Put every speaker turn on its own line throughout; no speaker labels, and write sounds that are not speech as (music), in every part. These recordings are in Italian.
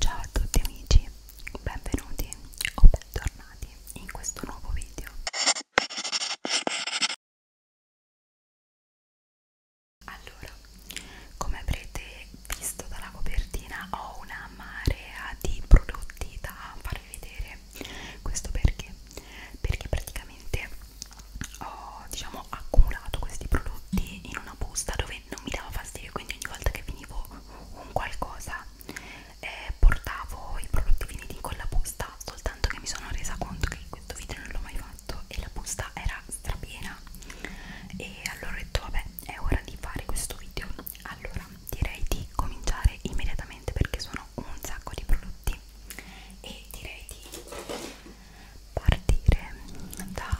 Ciao a tutti amici, benvenuti o bentornati in questo nuovo video. Allora, come avrete visto dalla copertina ho una marea di prodotti da farvi vedere. Questo perché? Perché praticamente ho diciamo accumulato questi prodotti in una busta dove non mi dava fastidio, quindi ogni volta che finivo un qualcosa eh, portavo i prodotti finiti in quella busta soltanto che mi sono resa conto che questo video non l'ho mai fatto e la busta era strapiena e allora ho detto vabbè è ora di fare questo video allora direi di cominciare immediatamente perché sono un sacco di prodotti e direi di partire da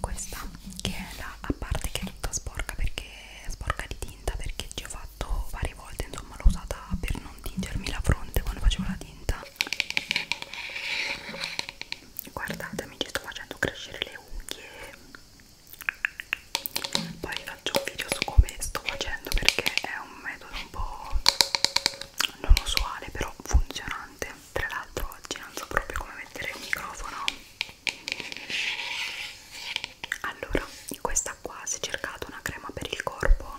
questa che è la a parte che è tutta sporca perché è sporca di tinta perché ci ho fatto varie volte insomma l'ho usata per non tingermi la fronte quando facevo la tinta guardate mi ci sto facendo crescere le unghie poi vi faccio un video su come sto facendo perché è un metodo un po' non usuale però funzionante tra l'altro oggi non so proprio come mettere il microfono allora questa qua si è cercata una crema per il corpo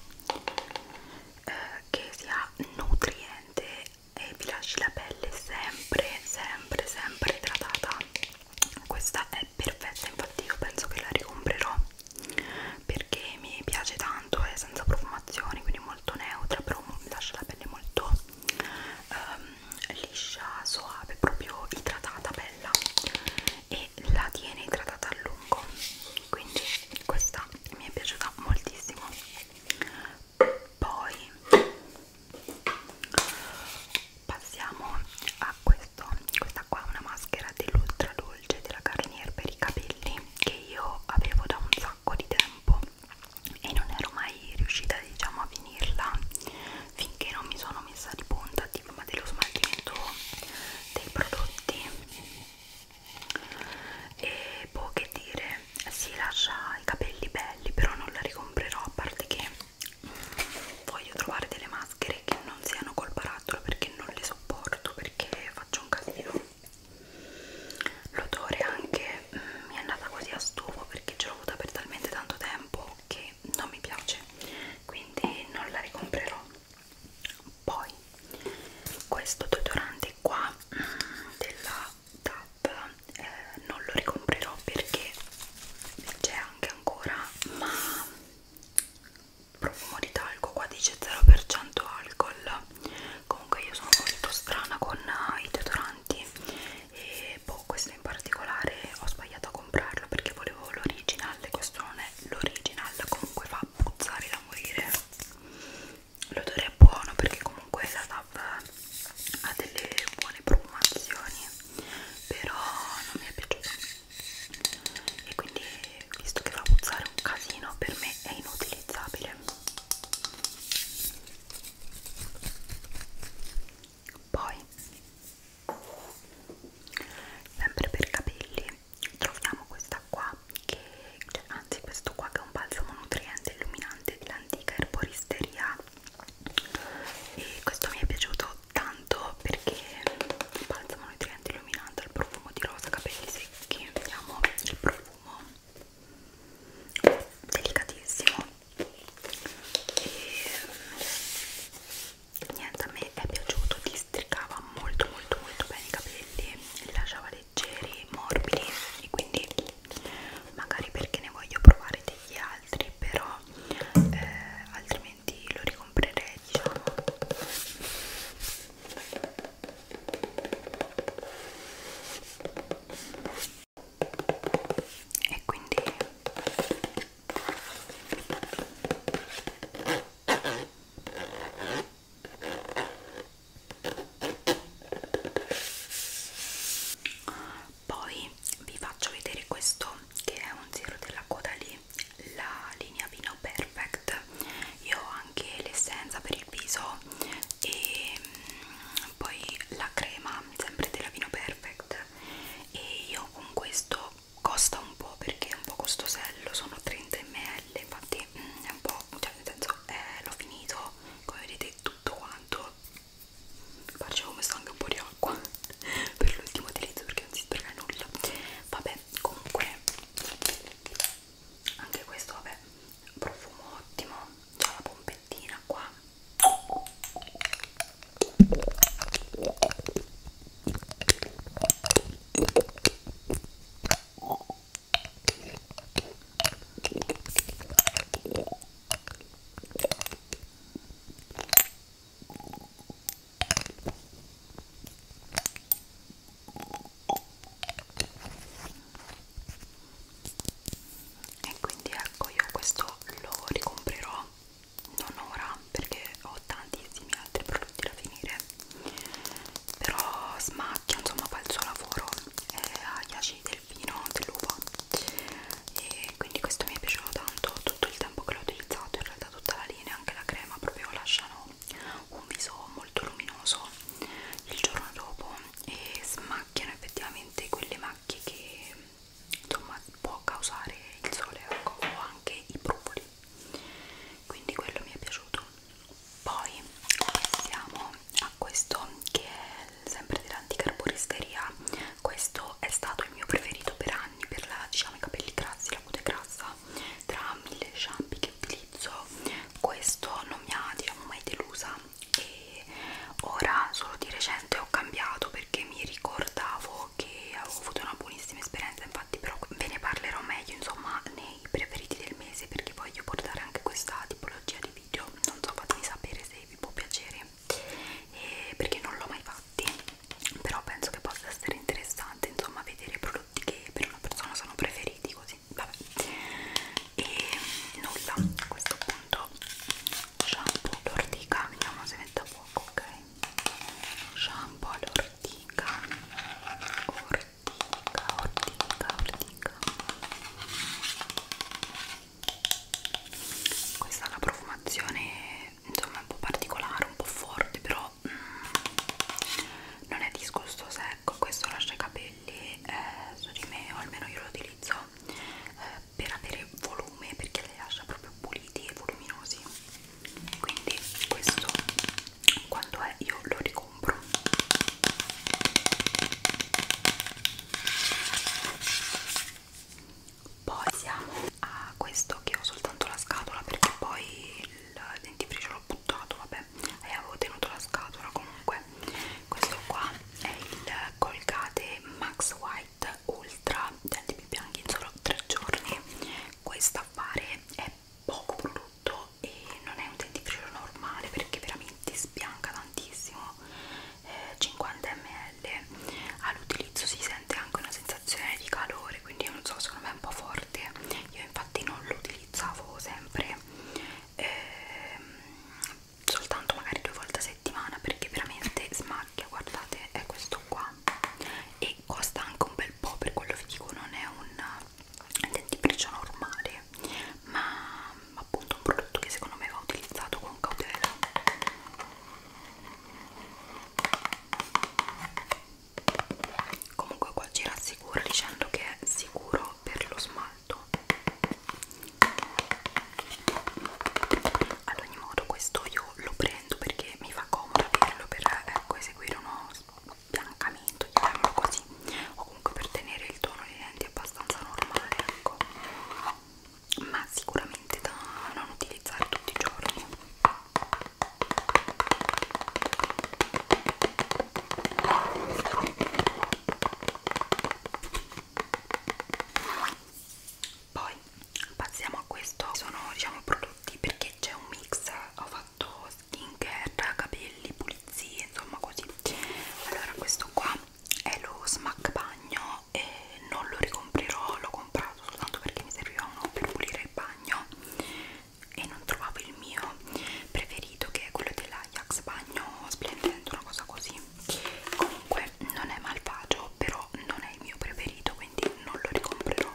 eh, che sia nutriente e vi lasci la pelle sempre sempre sempre idratata questa è perfetta infatti io penso che la ricomprerò perché mi piace tanto è senza profumazioni quindi molto neutra però mi lascia la pelle molto um, liscia, soave, proprio idratata, bella e la tiene idratata a lungo quindi questa mi è piaciuta moltissimo poi passiamo a questo questa qua è una maschera dell'ultra dolce della Garnier per i capelli che io avevo da un sacco di tempo e non ero mai riuscita diciamo a finirla finché non mi sono messa di punta di prima dello smaltimento dei prodotti e può che dire si lascia i capelli belli però non la ricomprerò a parte che mm, voglio trovare delle maschere che non siano col barattolo perché non le sopporto perché faccio un casino l'odore anche mm, mi è andata così a stufo perché ce l'ho avuta per talmente tanto tempo che non mi piace quindi non la ricomprerò poi questo deodorante qua mm, della TAP eh, non lo ricomprerò perché c'è anche ancora ma profumo di talco qua dice 0% alcol comunque io sono molto strana con eh, i deodoranti e boh, questo in particolare ho sbagliato a comprarlo perché volevo l'original e questo non è l'original, comunque fa puzzare da morire l'odore è buono perché comunque la DAV ha delle buone profumazioni però non mi è piaciuto e quindi visto che fa puzzare un casino per me è inutilizzabile poi sempre per capelli troviamo questa qua che cioè, anzi questo qua che è un balsamo nutriente illuminante dell'antica erboristeria e questo mi è piaciuto tanto perché il balsamo nutriente illuminante al profumo di rosa capelli secchi vediamo il profumo delicatissimo e mm, niente a me è piaciuto districava molto molto molto bene i capelli li lasciava leggeri morbidi e quindi magari perché ne voglio provare degli altri però eh, altrimenti lo ricomprerei diciamo e quindi poi vi faccio vedere questo che è un zero della coda lì la linea vino perfect io ho anche l'essenza per il viso e mm, poi la crema sempre della vino perfect e io con questo costa un po' perché è un po' costosello sono 30 ml infatti mm, è un po' cioè nel senso eh, l'ho finito come vedete tutto quanto guarda ci ho messo anche un po' di acqua (laughs) per l'ultimo utilizzo perché non si spreca nulla vabbè comunque anche questo vabbè profumo ottimo c'è la pompettina qua e quindi ecco io questo lo ricomprerò non ora perché ho tantissimi altri prodotti da finire però smacchia insomma fa il suo lavoro eh, agli acidi del vino dell'uva e quindi questo mi è piaciuto tanto tutto il tempo che l'ho utilizzato in realtà tutta la linea anche la crema proprio lasciano un viso molto luminoso il giorno dopo e smacchiano effettivamente quelle macchie che insomma può causare il sole ecco, o anche i brufoli quindi quello mi è piaciuto poi passiamo a questo che è sempre dell'anticarboristeria questo è stato il mio preferito per anni per la, diciamo, i capelli grassi, la cute grassa tra mille shampoo che utilizzo questo non mi ha diciamo mai delusa e ora solo di recente ho cambiato perché mi ricordavo che avevo avuto una buonissima esperienza infatti però ve ne parlerò meglio insomma nei preferiti del mese perché voglio portare anche questa tipologia di video non so fatemi sapere se vi può piacere e perché non l'ho mai fatti però penso che possa essere interessante insomma vedere prodotti che per una persona sono preferiti così vabbè e nulla a questo punto shampoo all'ortica vediamo se mette a fuoco ok shampoo all'ortica ortica ortica ortica questa è la profumazione insomma un po' particolare un po' forte però mm, non è disgustosa ecco questo lascia i capelli eh, su di me o almeno io lo utilizzo eh, per avere volume perché le lascia proprio puliti e voluminosi quindi questo quando è io lo ricompro poi siamo a questo che ho soltanto la scatola perché poi il dentifricio l'ho buttato vabbè e avevo tenuto la scatola comunque questo qua è il Colgate Max White set ultra denti bianchi in solo 3 giorni questo affare è poco prodotto e non è un dentifricio normale perché veramente sbianca tantissimo eh, 50 ml all'utilizzo si sente anche una sensazione di calore quindi non so secondo me è un po' forte io infatti non lo utilizzavo sempre ehm, soltanto magari due volte a settimana perché veramente smacchia guardate è questo qua e costa anche un bel po' per quello vi dico non è un dentifricio normale ma appunto un prodotto che secondo me va utilizzato con cautela comunque qua ci rassicura dicendo che è sicuro per lo smalto ad ogni modo questo io lo prendo perché mi fa comodo averlo per ecco, eseguire uno biancamento chiamiamolo così o comunque per tenere il tono dei denti abbastanza normale ecco ma sicuramente da non utilizzare tutti i giorni poi passiamo a questo sono diciamo prodotti perché c'è un mix ho fatto skincare capelli pulizie insomma così allora questo qua è lo smack bagno e non lo ricomprerò l'ho comprato soltanto perché mi serviva uno per pulire il bagno e non trovavo il mio preferito che è quello dell'Ajax bagno splendente una cosa così comunque non è malvagio però non è il mio preferito quindi non lo ricomprerò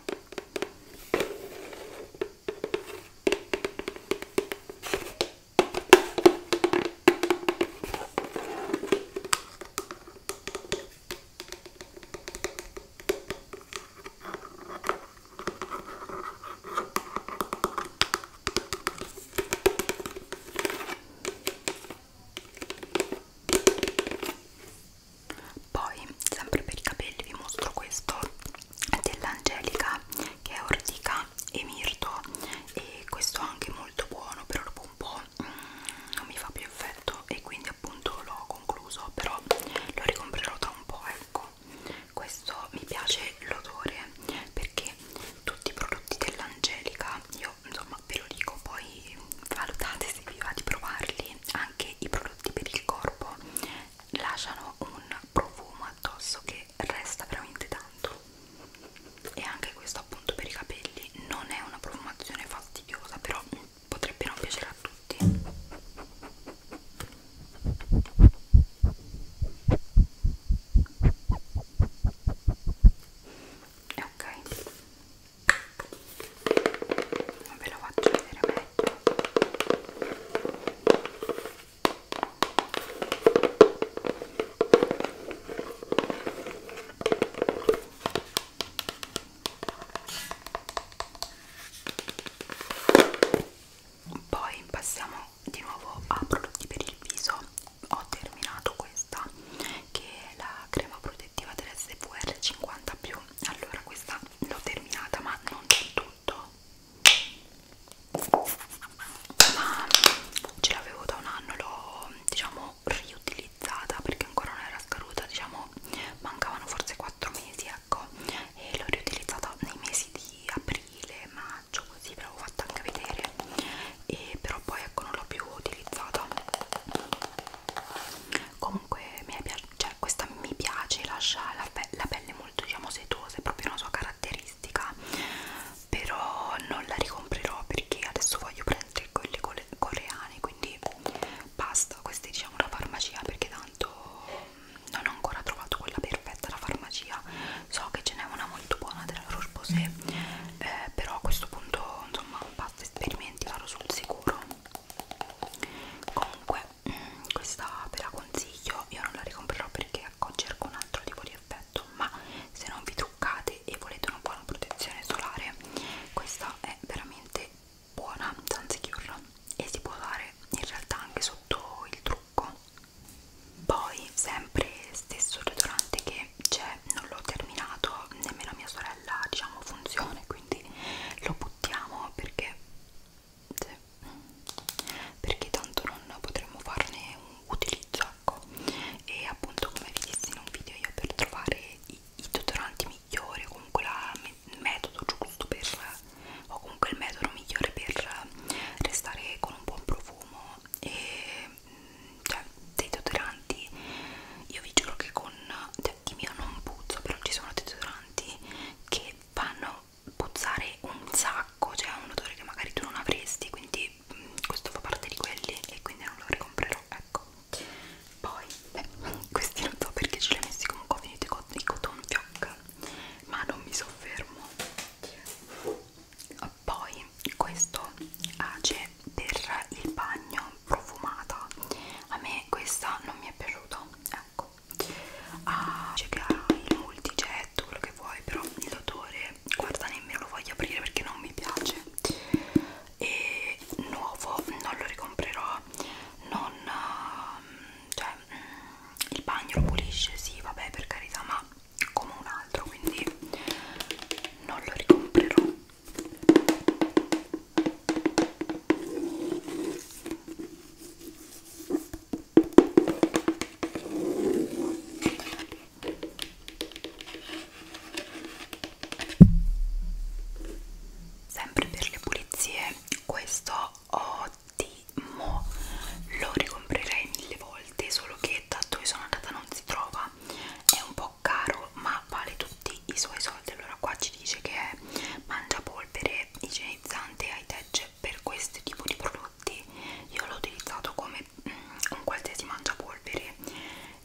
poi sempre per i capelli vi mostro questo dell'Angelica che è ortica e mirto e questo anche molto buono però dopo un po' mm, non mi fa più effetto e quindi appunto l'ho concluso però lo ricomprerò tra un po' ecco questo mi piace l'odore perché tutti i prodotti dell'Angelica io io insomma ve lo dico poi valutate se vi va di provarli anche i prodotti per il corpo lasciano un profumo addosso che resta veramente tanto e anche questo appunto per i capelli non è una profumazione fastidiosa però potrebbe non piacere a tutti e ok non ve lo faccio vedere meglio poi passiamo di nuovo a prodotti per il viso ho terminato questa che è la crema protettiva protettiva dell'SPR 50 più allora questa l'ho terminata ma non del tutto ma ce l'avevo da un anno l'ho diciamo riutilizzata perché ancora non era scaduta diciamo mancavano forse 4 mesi ecco e l'ho riutilizzata nei mesi di aprile maggio così ve l'avevo fatta anche vedere e però poi ecco non l'ho più utilizzata comunque mi piace, cioè, questa mi piace lascia la, pe la pelle molto diciamo setosa è proprio una sua caratteristica però non la ricomprerò perché adesso voglio prendere quelle co coreane quindi basta questa è diciamo una farmacia perché tanto non ho ancora trovato quella perfetta alla farmacia so che ce n'è una molto buona della Roche Posay eh, però a questo punto insomma basta esperimenti vado sul sicuro comunque mm, questa ve la consiglio io non la ricomprerò perché cerco un altro tipo di effetto ma se non vi truccate e volete una buona protezione solare questa è veramente buona Sunsecure e si può usare in realtà anche sotto il trucco poi sempre stesso deodorante che c'è non l'ho terminato nemmeno mia sorella bella diciamo funzione quindi lo buttiamo perché sì, perché tanto non potremmo farne un utilizzo ecco e appunto come vi dissi in un video io per trovare i, i deodoranti migliori o comunque la, il metodo giusto per o comunque il metodo migliore per restare con un buon profumo e cioè dei deodoranti io vi giuro che con di mio non puzzo però ci sono deodoranti che fanno puzzare un sacco cioè un odore che magari tu non avresti quindi mm, questo fa parte di quelli e quindi non lo ricomprerò ecco poi beh, (laughs) questi non so perché ce li ho messi comunque ho finito i cotton fioc ma non mi soffermo poi questo ace per il bagno profumata a me questa non mi è piaciuta ecco ah, c'è il multigetto quello che vuoi però l'odore guarda nemmeno lo voglio aprire perché non mi piace e nuovo non lo ricomprerò non ehm, cioè mm, il bagno lo pulisce sì vabbè per carità ma come un altro quindi non lo ricomprerò Sempre per le pulizie, questo ottimo, lo ricomprerei mille volte, solo che da dove sono andata non si trova, è un po' caro euro ma vale tutti i suoi soldi allora qua ci dice che è mangiapolvere igienizzante e high tech per questo tipo di prodotti io l'ho utilizzato come mm, un qualsiasi mangiapolvere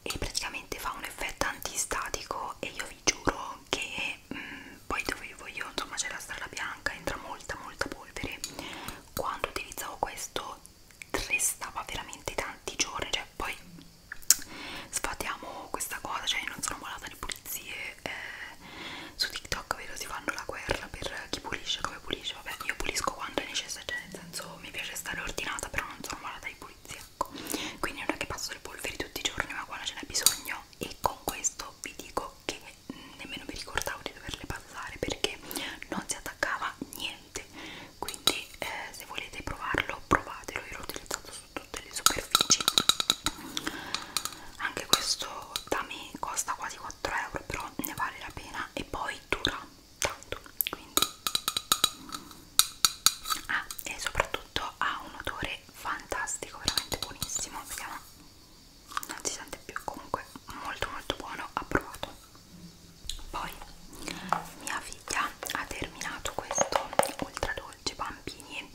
e praticamente fa un effetto antistatico e io vi giuro che mm, poi dove vivo io insomma c'è la strada bianca entra molta molta polvere quando utilizzavo questo restava veramente tanti giorni cioè poi sfatiamo questa cosa, cioè io non sono malata di pulizie eh, su TikTok vedo si fanno la guerra per chi pulisce, come pulisce, vabbè io pulisco quando è necessario, cioè nel senso mi piace stare ordinata però non sono malata di pulizia, ecco quindi non è che passo le polveri tutti i giorni ma quando ce n'è bisogno e con questo vi dico che nemmeno mi ricordavo di doverle passare perché non si attaccava niente quindi eh, se volete provarlo provatelo, io l'ho utilizzato su tutte le superfici anche questo da me costa quasi 4 euro però ne vale la pena e poi dura tanto quindi ah, e soprattutto ha un odore fantastico veramente buonissimo si chiama non si sente più comunque molto molto buono approvato poi mia figlia ha terminato questo ultra dolce dolce bambini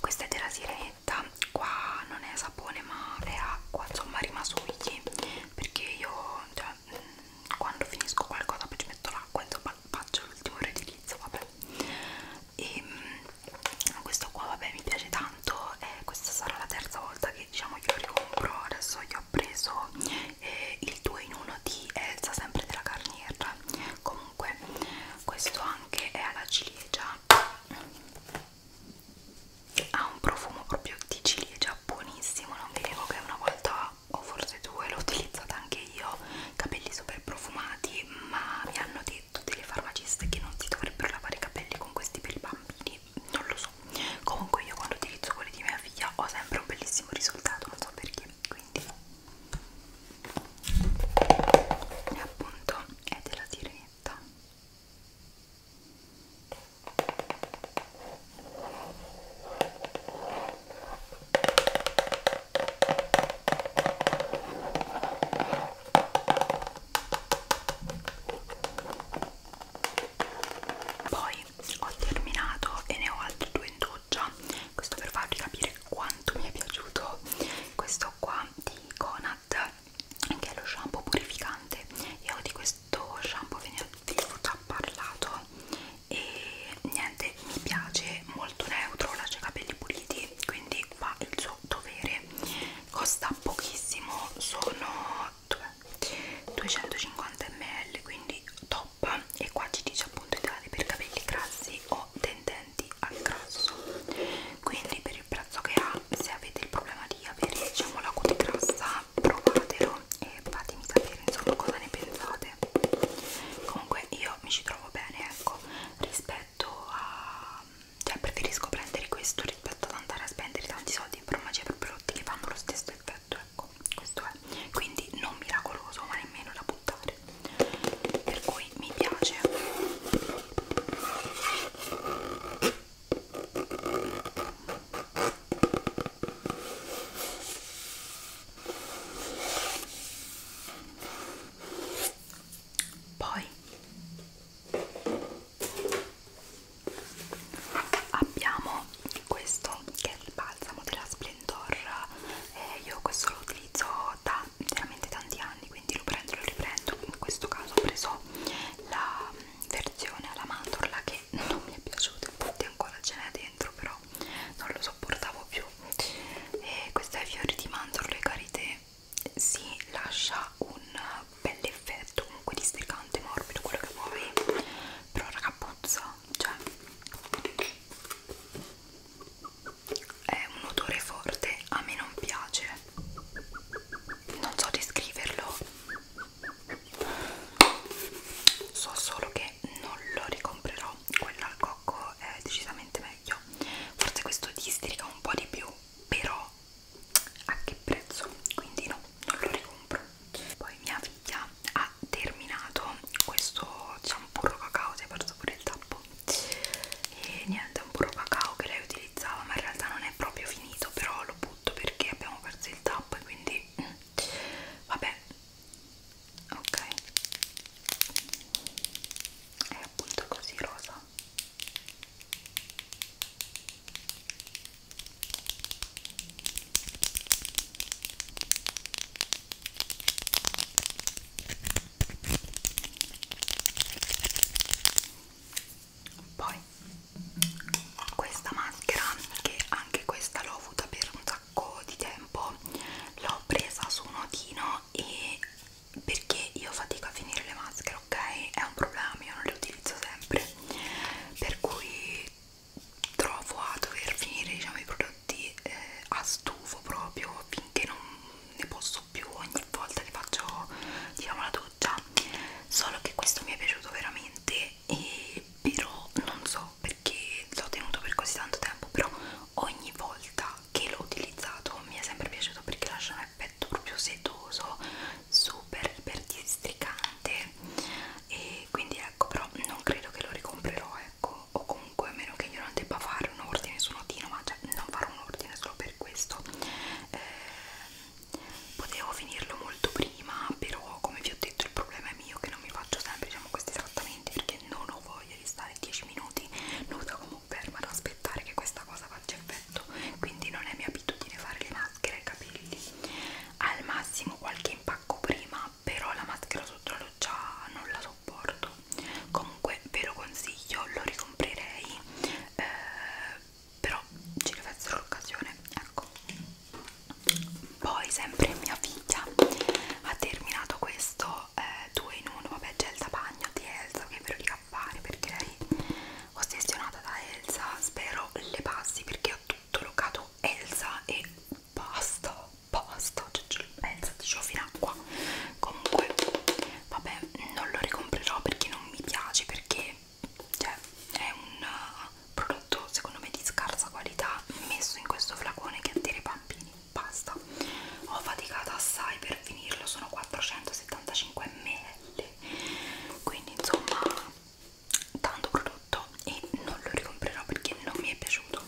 questa è della siretta qua non è sapone ma è acqua insomma rimasugli perché io cioè, mm, quando finisco qualcosa poi ci metto l'acqua insomma faccio l'ultimo riutilizzo vabbè e mm, questo qua vabbè mi piace tanto eh, questa sarà la terza volta che diciamo io ricompro adesso io ho preso eh, il 2 in 1 di Elsa sempre della Carnier con comunque questo anche è alla ciliegia ha un profumo proprio di ciliegia buonissimo non vi dico che una volta o forse due l'ho utilizzata anche io capelli super profumati ma mi hanno detto delle farmaciste che non si dovrebbero lavare i capelli con questi per i bambini non lo so comunque io quando utilizzo quelli di mia figlia ho sempre un bellissimo risultato non so perché quindi e appunto è della sirenetta poi ho terminato e ne ho altri due in due pioggia questo per farvi capire quanto mi è piaciuto questo qua di Conad che è lo shampoo purificante io di questo shampoo ve ne avevo già parlato e niente mi piace molto neutro lascia i capelli puliti quindi fa il suo dovere costa pochissimo sono 250 ml quindi top e qua ci dice appunto ideale per capelli grassi o tendenti al grasso quindi per il prezzo che ha se avete il problema di avere diciamo la cute grassa provatelo e fatemi sapere insomma cosa ne pensate comunque io mi ci trovo bene ecco rispetto a cioè preferisco prendere questo rispetto ad andare a spendere tanti soldi in farmacia per prodotti che fanno lo stesso effetto ecco questo è quindi non miracoloso ma nemmeno da buttare per cui mi piace poi abbiamo questo che è il balsamo della Splendor eh, io questo lo utilizzo ho da veramente tanti anni quindi lo prendo lo riprendo in questo caso ho preso la mm, versione alla mandorla che non mi è piaciuta infatti ancora ce n'è dentro però non lo sopportavo più e questa è fiori di mandorle carite si lascia un bel effetto comunque districante morbido quello che vuoi però raga puzza cioè è un odore forte, a me non piace, non so descriverlo, so solo che non lo ricomprerò, quello al cocco è decisamente meglio, forse questo districa un po' di più, però a che prezzo, quindi no, non lo ricompro. Poi mia figlia ha terminato questo shampoo cacao, si è perso pure il tappo e niente è un puro cacao che lei utilizzava ma in realtà non è proprio finito però lo butto perché abbiamo perso il tappo e quindi mm, vabbè ok è appunto così rosa poi questa maschera che anche questa l'ho avuta per un sacco di tempo l'ho presa su un notino e perché io fatico a finire le maschere ok è un problema io non le utilizzo sempre per cui trovo a dover finire diciamo i prodotti oggetti eh, a stufo proprio finché non ne posso più ogni volta che faccio diciamo la doccia solo che questo mi è piaciuto veramente e però non so perché l'ho tenuto per così tanto tempo però ogni volta che l'ho utilizzato mi è sempre piaciuto perché lascia un effetto proprio setoso super iper districante e quindi ecco però non credo che lo ricomprerò eh ecco o comunque a meno che io non debba fare un ordine su notino ma cioè non farò un ordine solo per questo eh, potevo finirlo molto prima però come vi ho detto il problema è mio che non mi faccio sempre diciamo questi trattamenti perché non ho voglia di stare 10 minuti nuda come ferma ad aspettare che questa cosa faccia effetto quindi non è mia abitudine fare le maschere ai capelli al massimo qualche impacco prima però la maschera sotto la già non la sopporto comunque ve lo consiglio lo ricomprerei eh, però ci deve essere l'occasione ecco poi sempre mia figlia ha terminato questo 2 eh, in 1 vabbè gel da bagno di Elsa che ve lo dico a fare perché lei ossessionata da Elsa spero le passi perché ho tutto locato Elsa e basta basta, cioè, pensati, ce l'ho fino a qua. Comunque, vabbè, non lo ricomprerò perché non mi piace, perché cioè, è un uh, prodotto secondo me di scarsa qualità messo in questo flacone che attira i bambini. Basta, ho faticato assai per finirlo, sono 475 ml, quindi insomma tanto prodotto e non lo ricomprerò perché non mi è piaciuto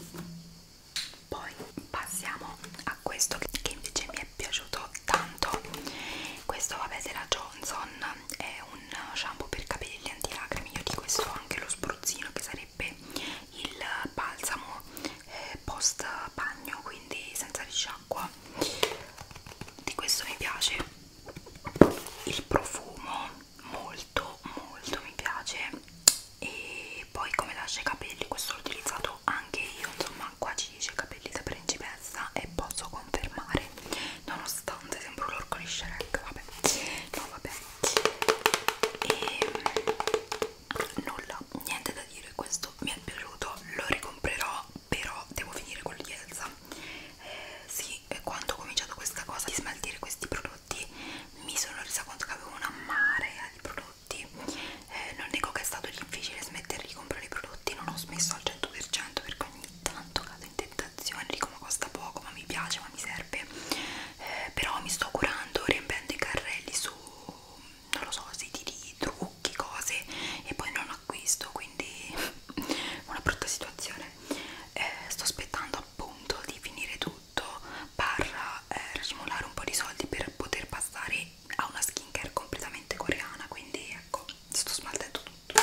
poi passiamo a questo che invece mi è piaciuto tanto questo vabbè della Johnson è un shampoo per capelli antilacrime io di questo ho anche lo spruzzino che sarebbe il balsamo eh, post bagno quindi senza risciacqua di questo mi piace il profumo molto molto mi piace e poi come lascia i capelli questo l'ho utilizzato anche io insomma qua ci dice capelli da principessa e posso confermare nonostante sembro l'orco di Shrek vabbè no vabbè e ehm, nulla niente da dire questo mi è piaciuto lo ricomprerò però devo finire con l'Ielsa eh, sì quando ho cominciato questa cosa di smaltire questi prodotti mi sono resa conto che avevo una marea di prodotti prodotti eh, non nego che è stato difficile smettere di comprare i prodotti non ho smesso al 100% perché ogni tanto cado in tentazione dico ma costa poco ma mi piace ma mi serve eh, però mi sto curando riempiendo i carrelli su non lo so siti di trucchi cose e poi non acquisto quindi (laughs) una brutta situazione eh, sto aspettando appunto di finire tutto barra eh, rasmolare un po' di soldi per poter passare a una skincare completamente coreana quindi ecco sto smaltendo tutto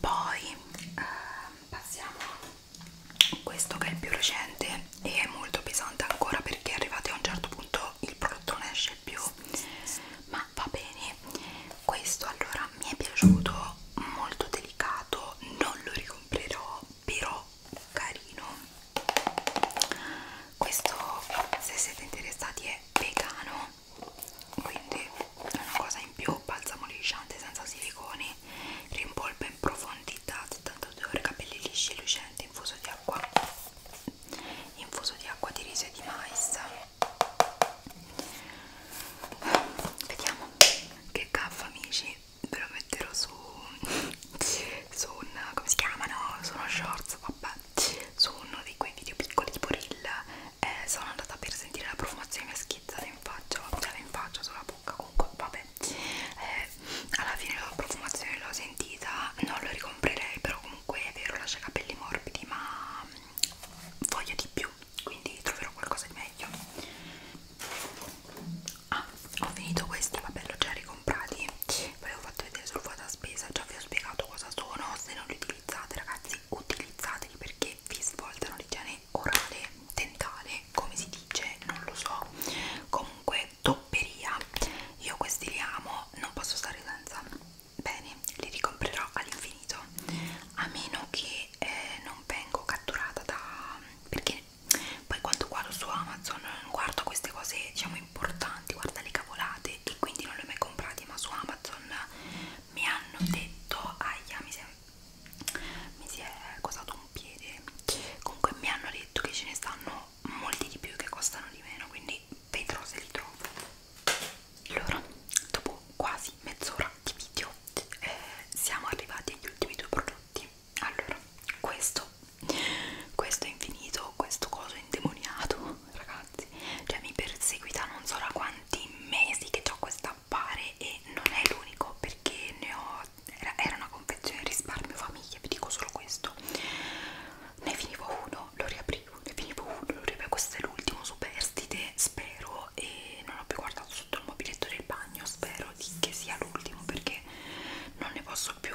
poi eh, passiamo a questo che è il più recente e è molto pesante ancora perché arrivati a un certo punto il prodotto non esce più ma va bene questo allora mi è piaciuto molto delicato non lo ricomprerò però carino questo se siete interessati è vegano quindi è una cosa in più balsamo lisciante senza siliconi rimpolpa in profondità 72 ore capelli lisci e lucenti infuso di acqua infuso di acqua di riso e di mais vediamo che gaffa amici ve lo metterò su su un come si chiamano? sono shorts vabbè su uno di quei video piccoli tipo reel eh, sono andata per sentire la profumazione mia schizzata in faccia cioè in faccia sulla bocca comunque vabbè eh, alla fine la profumazione l'ho sentita non lo ricomprerei però comunque è vero lascia i capelli morbidi ma mm, voglio di più quindi troverò qualcosa di meglio ah ho finito questi vabbè l'ho già ricomprati ve l'ho fatto vedere sul vuota spesa già vi ho spiegato cosa sono se non li utilizzate ragazzi utilizzateli perché vi svoltano l'igiene orale dentale come si dice non lo so comunque topperia io questi li amo non posso stare senza bene li ricomprerò all'infinito a meno che eh, non vengo catturata da perché poi quando guardo su Amazon non guardo queste cose diciamo importanti guarda le cavolate e quindi non le ho mai comprate ma su Amazon mi hanno detto aia mi si è, mi si è costato un piede comunque mi hanno detto che ce ne stanno molti di più che costano di meno quindi vedrò se li trovo allora dopo quasi mezz'ora di video eh, siamo arrivati agli ultimi due prodotti allora questo questo è infinito questo coso è indemoniato (laughs) ragazzi cioè mi perseguita non so da quanti mesi che ho questo appare e non è l'unico perché ne ho era, era una confezione risparmio famiglia vi dico solo questo ne finivo uno lo riaprivo ne finivo uno lo riaprivo questo è l'ultimo superstite spero e non ho più guardato sotto il mobiletto del bagno spero di che sia l'ultimo perché perché non ne posso più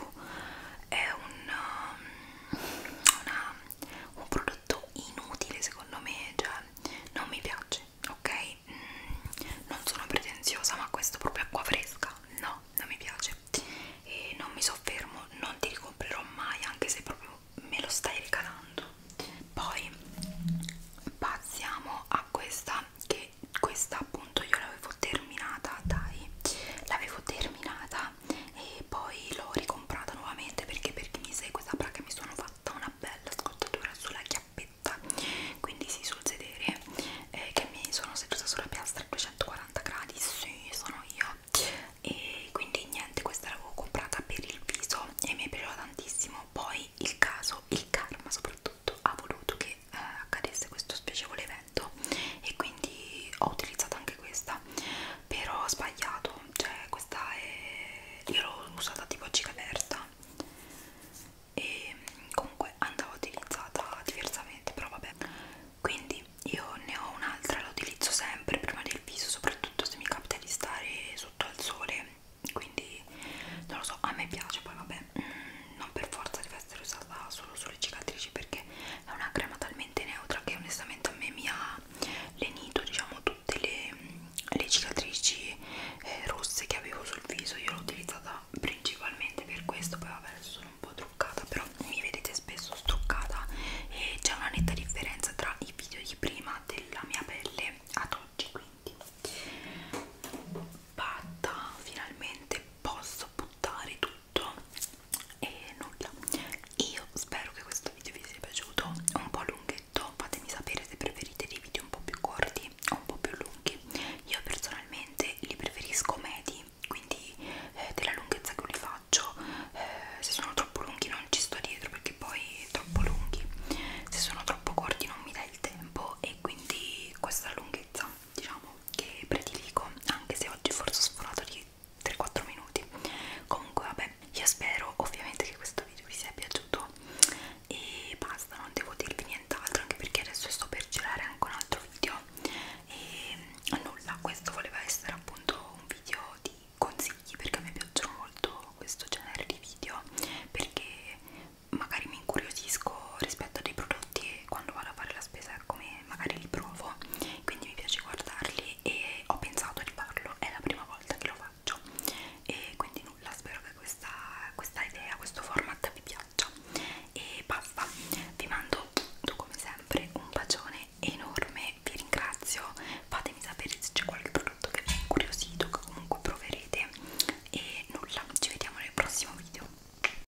è un, um, una, un prodotto inutile secondo me cioè non mi piace ok mm, non sono pretenziosa ma questo proprio acqua fresca no non mi piace e non mi soffermo non ti ricomprerò mai anche se proprio me lo stai regalando poi passiamo a questa che questa appunto io l'avevo terminata dai l'avevo terminata e poi l'ho ricomprata nuovamente perché per chi mi segue saprà che mi sono fatta una bella scottatura sulla chiappetta quindi sì sul sedere eh, che mi sono seduta sulla piastra a 240 gradi sì sono io e quindi niente questa l'avevo comprata per il viso e mi è piaciuta tantissimo poi il caso il karma soprattutto 2018 ha voluto che eh, accadesse questo spiacevole evento e quindi ho utilizzato anche questa però ho sbagliato cioè questa è io l'ho usata tipo a cica aperta e mm, comunque andava utilizzata diversamente però vabbè quindi io ne ho un'altra la utilizzo sempre prima del viso soprattutto se mi capita di stare sotto al sole quindi non lo so a me piace poi vabbè mm non per forza deve essere usata solo sulle cicatrici perché è una crema talmente neutra che onestamente a me mi ha lenito diciamo tutte le, le cicatrici eh, rosse che avevo sul viso io l'ho utilizzata principalmente per questo poi vabbè adesso sono un po' truccata però mi vedete spesso struccata e c'è una netta differenza tra i video di prima della mia pelle ad oggi quindi Batta, finalmente posso buttare tutto tutto e nulla io spero che questo video vi sia piaciuto un po' lunghetto fatemi sapere se preferite dei video un po' più corti o un po' più lunghi io personalmente li preferisco medi quindi eh, della lunghezza che li faccio eh, se sono troppo lunghi non ci sto dietro perché poi è troppo lunghi se sono troppo corti non mi dà il tempo e quindi questa lunghezza diciamo che prediligo anche se oggi forse ho sforato di 3-4 minuti comunque vabbè io spero ovviamente che questo video vi sia piaciuto e basta non devo dirvi nient'altro anche perché adesso sto per girare anche un altro video e mm, nulla questo voleva essere appunto un video di consigli perché a me piacciono molto questo genere di video perché magari mi incuriosisco rispetto a dei prodotti e quando vado a fare la spesa come magari li provo quindi mi piace guardarli e ho pensato di farlo è la prima volta che lo faccio e quindi nulla spero che questa, questa idea questo format vi piaccia e basta vi mando come sempre un bacione enorme vi ringrazio fatemi sapere se c'è qualche prodotto che vi è incuriosito che comunque proverete e nulla ci vediamo nel prossimo video